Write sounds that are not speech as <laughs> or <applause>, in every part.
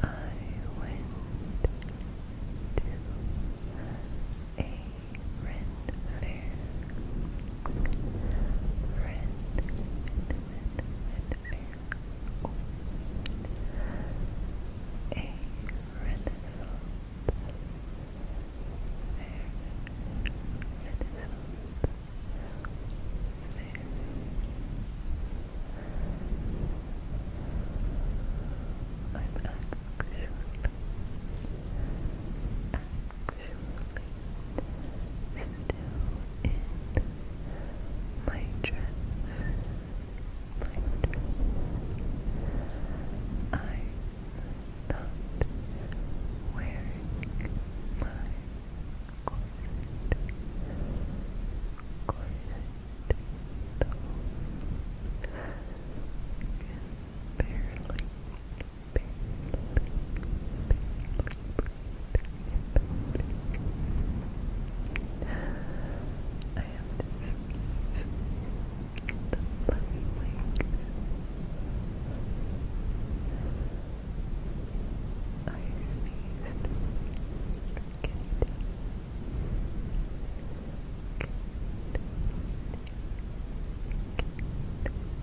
I went to a red, fair, red, red, red, fair. Oh. A renaissance, fair, renaissance, fair. I'm actually, actually actually still in my dress. My dress. i not wearing my corset. Corset. Though. barely I have to sneeze the I sneezed. Good. Good. Good.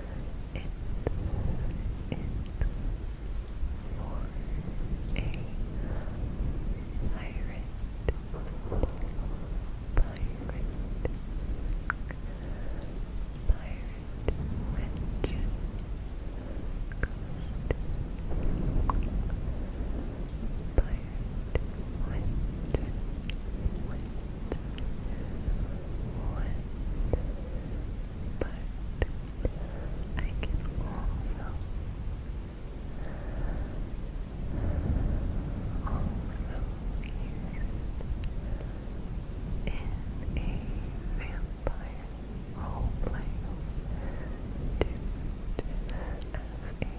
it for a pirate pirate pirate mansion coast pirate mansion went went but I can also also use in a vampire role play as a vampire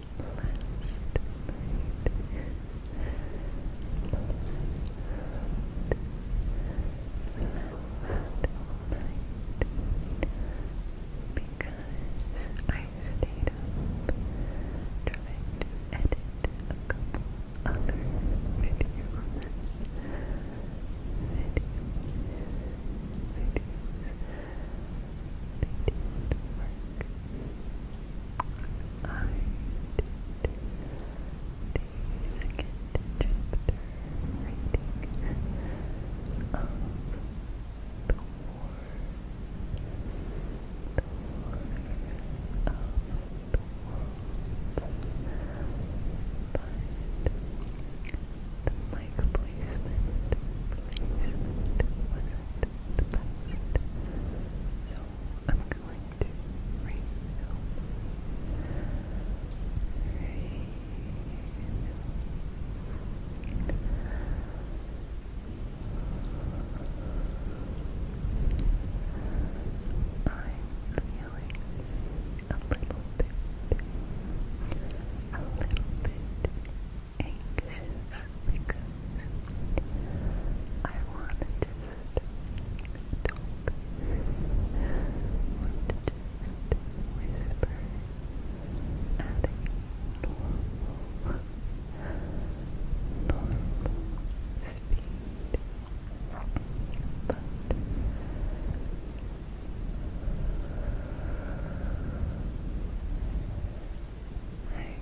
night because I stayed up trying to edit a couple other videos. Video, videos. They did work I did the second chapter reading of the war, the war of the world, but the mic placement, the best. So I'm going to refill, refill. I'm feeling a little bit, a little bit, anxious because I want to just talk. want to just whisper at a normal, normal speed. But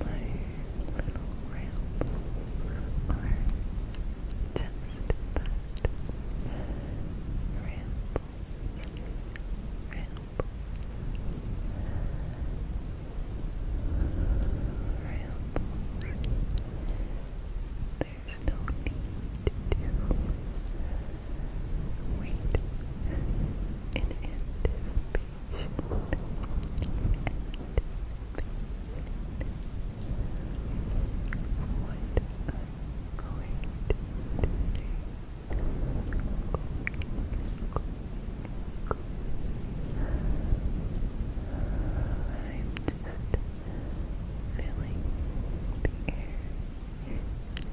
My little rambles just that. Rambles. Rambles. Rambles there's no need to wait in anticipation. What I'm going I'm just filling the air filling the air, filling deep breath.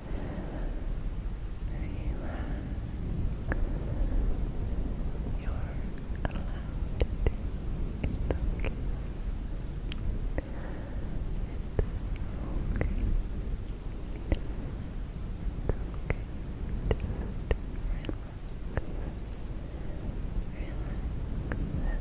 You're allowed to do it's okay. It's okay. It's okay. Just relax.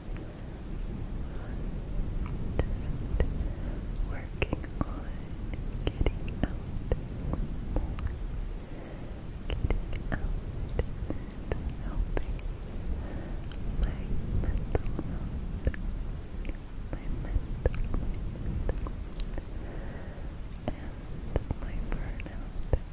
Just working on getting out getting out and helping my mental health, my mental, and my burnout.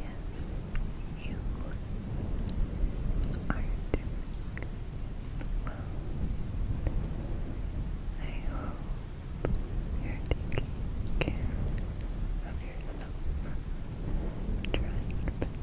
Yes, you are doing well. I hope you're taking care of yourself. I'm trying best to do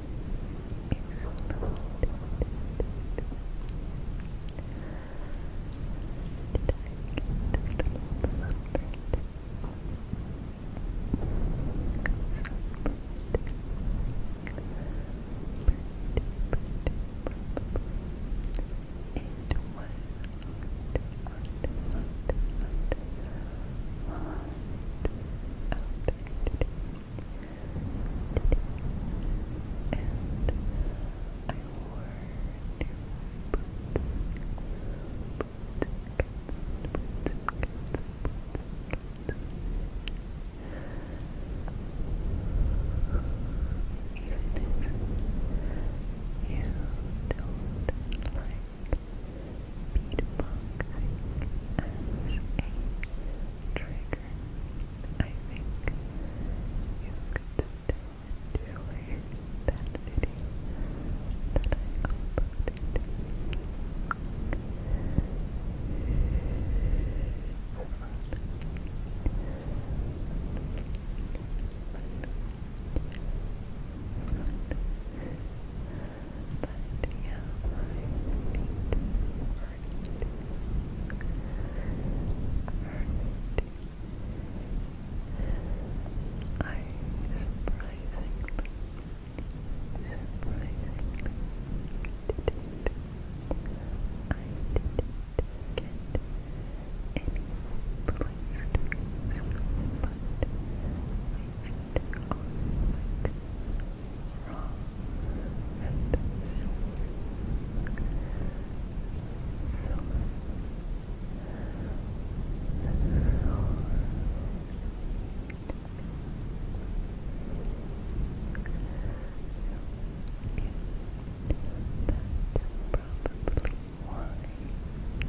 hot, hot, hot, hot, today. And I wore new Even if you don't like Beatboxing as a trigger. I think you could still enjoy that that I uploaded. Fun. Fun. But yeah, I need to hurt. Hurt. I surprisingly, surprisingly did it. I didn't get any place to go, but I and garlic, and sour, sour, sour. That's why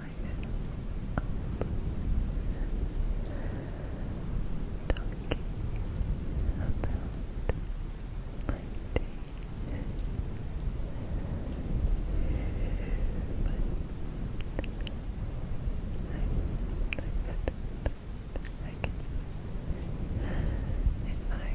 myself up. Talking about my day. But I'm next. I can if I right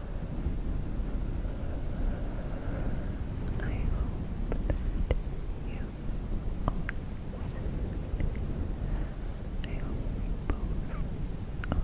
I hope that you all I hope we both are both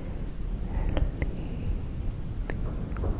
Back and forth, back and forth, back and and forth,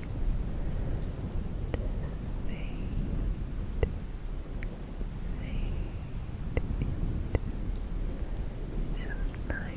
fade some nice sweet sweet dreams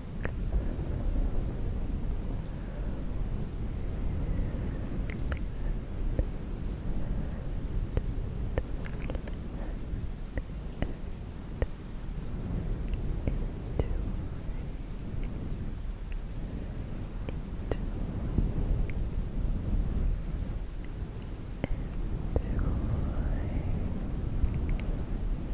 Enjoy. Enjoy.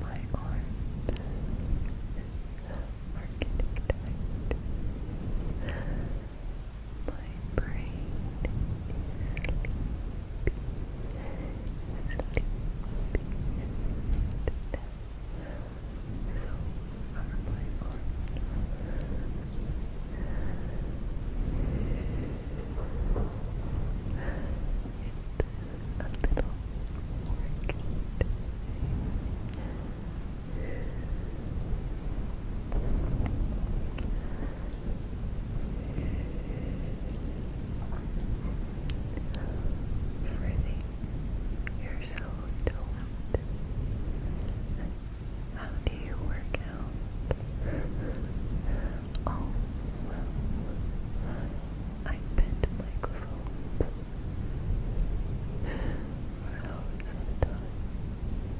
My arms are getting My brain is sleepy, so are my a little work Freezing your How do you work out? Oh, well, I bent microphones for hours at time.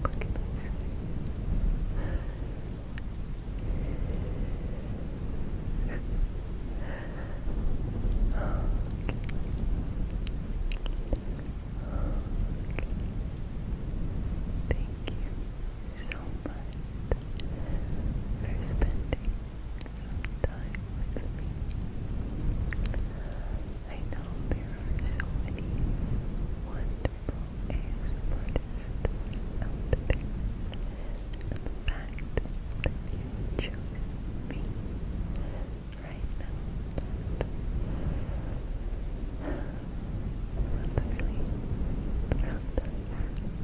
What can I <laughs> Thank you so for spending time with me. I know there are so many wonderful ASMR artists out that you chose me right now that's really, really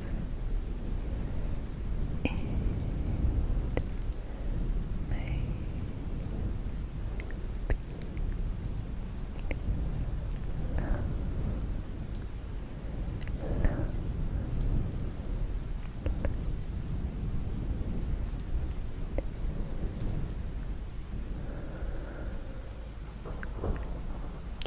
It may be